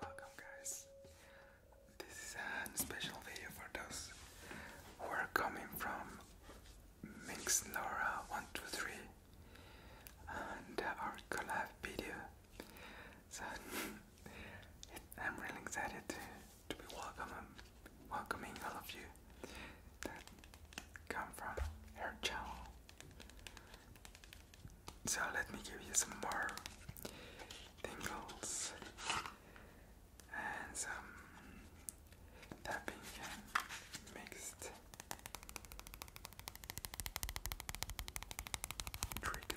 Welcome guys. This is a special video for those who are coming from Minx Laura 123 and our collab video. So I'm really excited to be welcome welcoming all of you that come from her channel. So let me give you some more tingles and some tapping mixed triggers.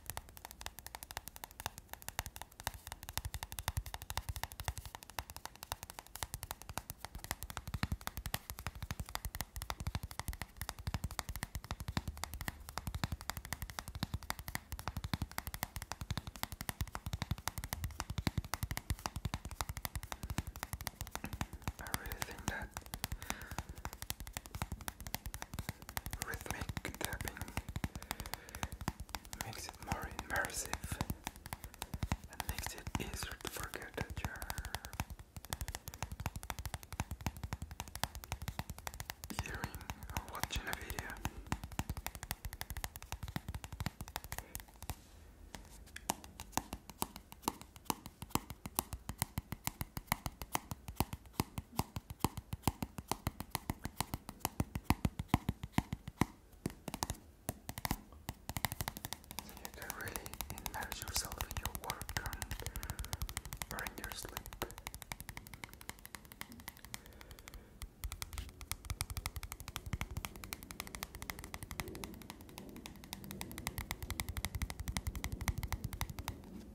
I really think that Rhythmic tapping makes it more immersive and makes it easier to forget that you're hearing or watching a video. You can really immerse yourself in your work or your sleep.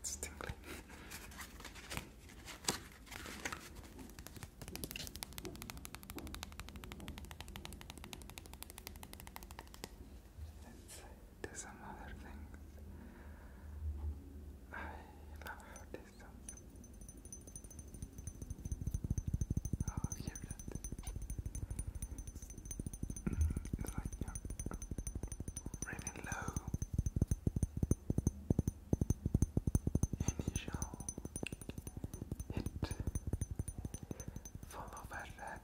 It's tingling. Let's do some other things. I love how distance. you really low. Initial hit. Follow by that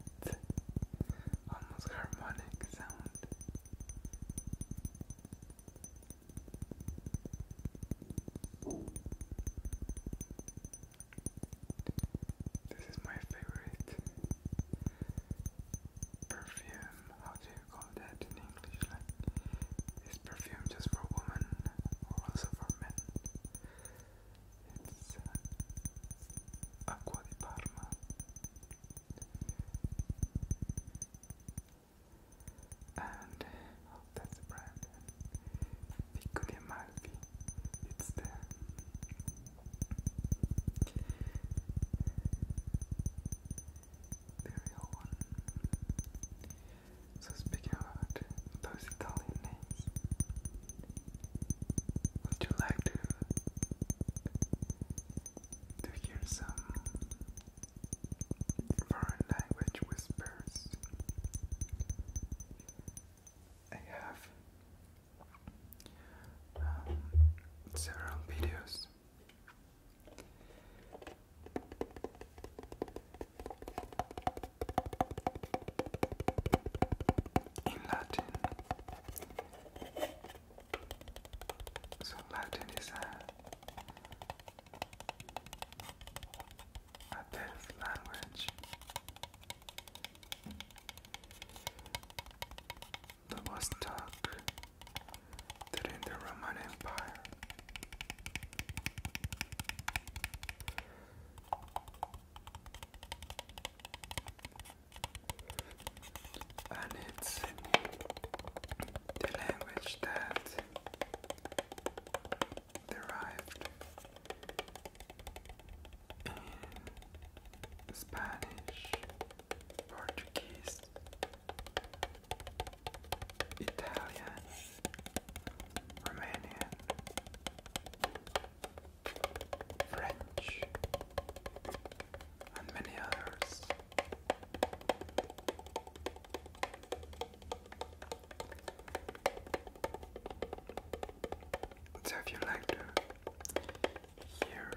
almost harmonic sound. This is my favorite perfume. How do you call that in English? Like, is perfume just for women or also for men? It's uh, di Parma and oh, that's the brand Piccoli Malfi it's the the one so speaking about those Italian names would you like to to hear some Foreign language whispers. I have um, several videos. In Latin, so Latin is a, a deaf language. That was taught during the Roman Empire and it's the language that derived in Spanish, Portuguese, Italian, Romanian, French, so, if you like to hear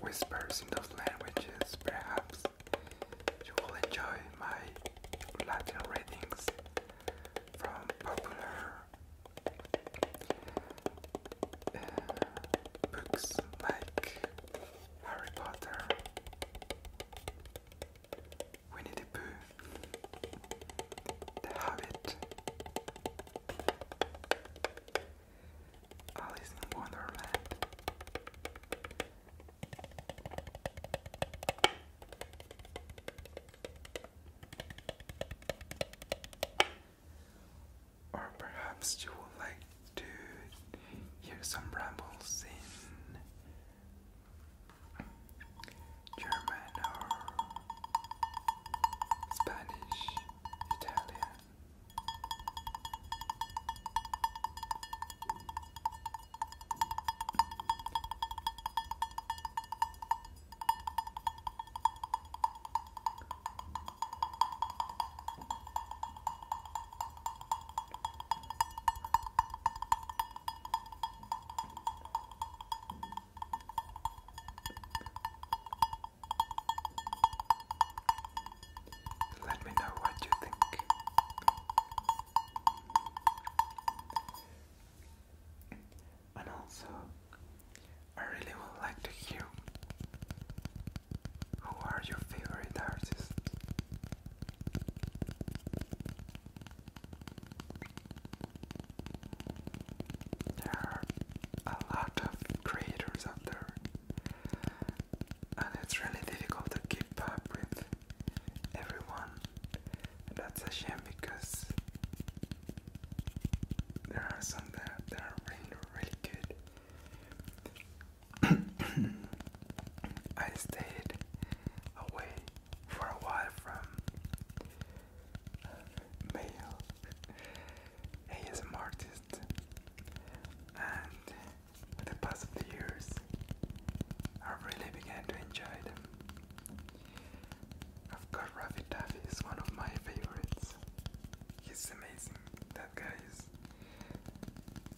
whispers in those languages, perhaps you will enjoy my Latin readings from popular uh, books like Harry Potter, Winnie the Pooh, The Hobbit, Alice in Wonderland. Or perhaps you would like to hear some rambles in German or Spanish, Italian. Let me know what you think. And also, I really would like to hear who are your favorite artists. There are a lot of creators out there, and it's really difficult to keep up with everyone. that's a shame because there are some that are really, really good, I stayed away for a while from male ASM artists, and the past of the years, I really began to enjoy them. Of course, Ravi Taffy is one of my favorites he's amazing. That guy is.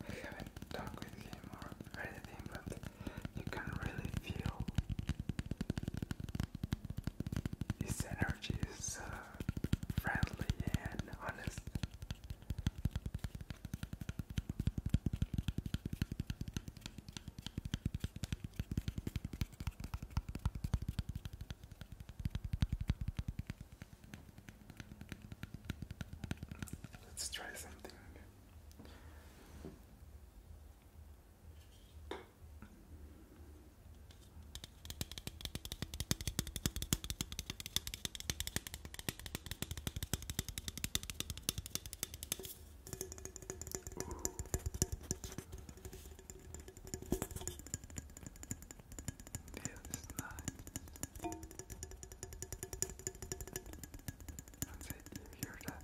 I haven't talked with him or anything, but you can really feel his energy is uh, friendly and honest. Let's try something. Feels nice. That's it, you hear that?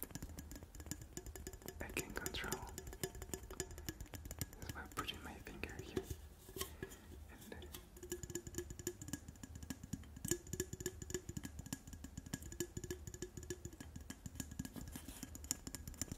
I can control this by putting my finger here and there. Uh,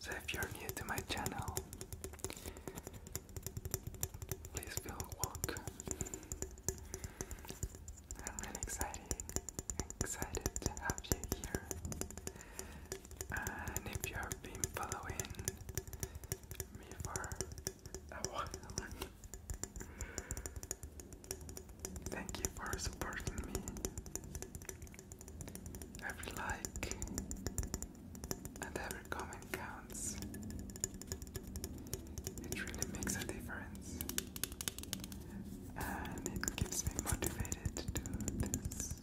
So if you're new to my channel, please go walk. I'm really excited, excited to have you here. And if you have been following me for a while, thank you for supporting me. Every like and every comment counts. It really makes a difference. And it keeps me motivated to do this.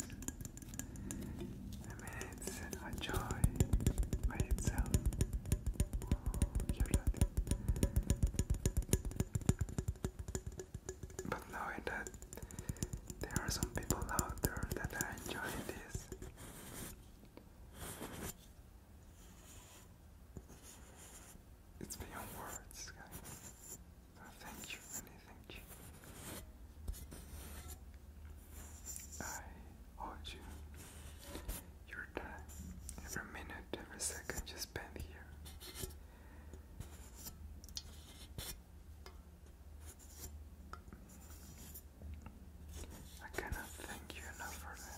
I mean, it's a joy by itself. Oh, but knowing that there are some people out there that are enjoying this. It's beyond words, guys. thank you, really thank you. I owe you your time, every minute, every second you spend here. I cannot thank you enough for that.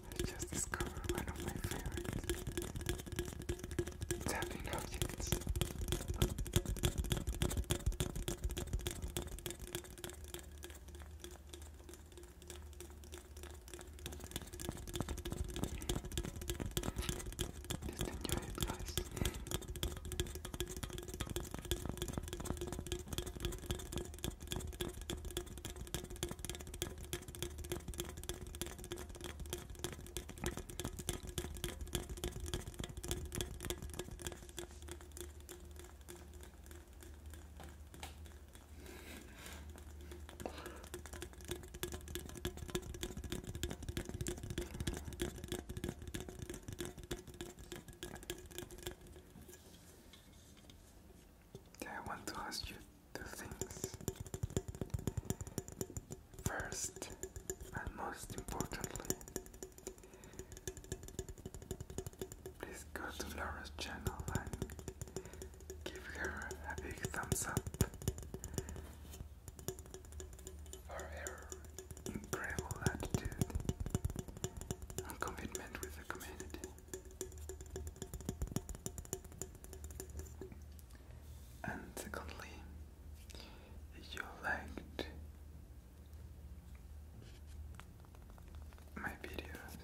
I just discovered one of my favorites tapping objects. Just enjoy it, guys. Yeah, I want to ask you two things. First, and most importantly, please go to Laura's channel and give her a big thumbs up for her incredible attitude and commitment with the community. And secondly, you liked my videos,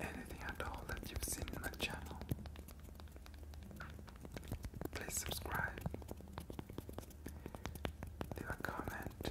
anything at all that you've seen in my channel, please subscribe, leave a comment,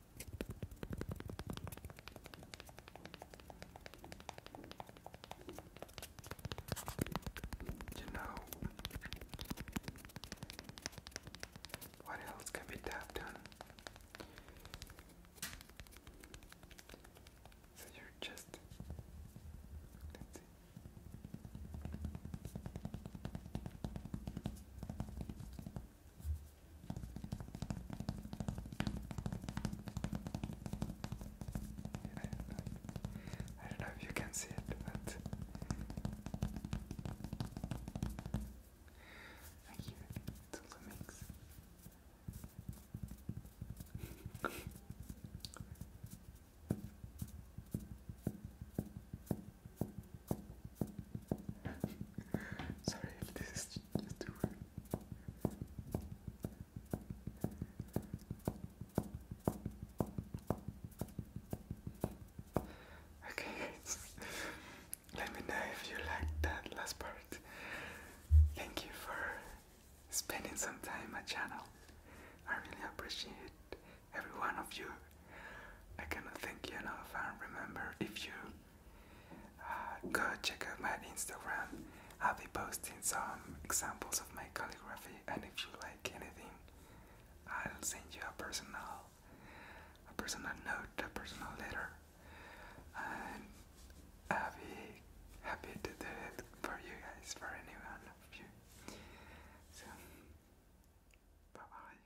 You know, what else can be tapped So you're just. I don't know if you can see it, but I keep it. It's also mix. Sorry this is just too Okay, let me know if you liked that last part. Thank you for spending some time on my channel. I really appreciate every one of you. I cannot thank you enough. And remember, if you uh, go check out my Instagram. I'll be posting some examples of my calligraphy, and if you like anything, I'll send you a personal, a personal note, a personal letter, and I'll be happy to do it for you guys, for anyone of you. So, bye bye.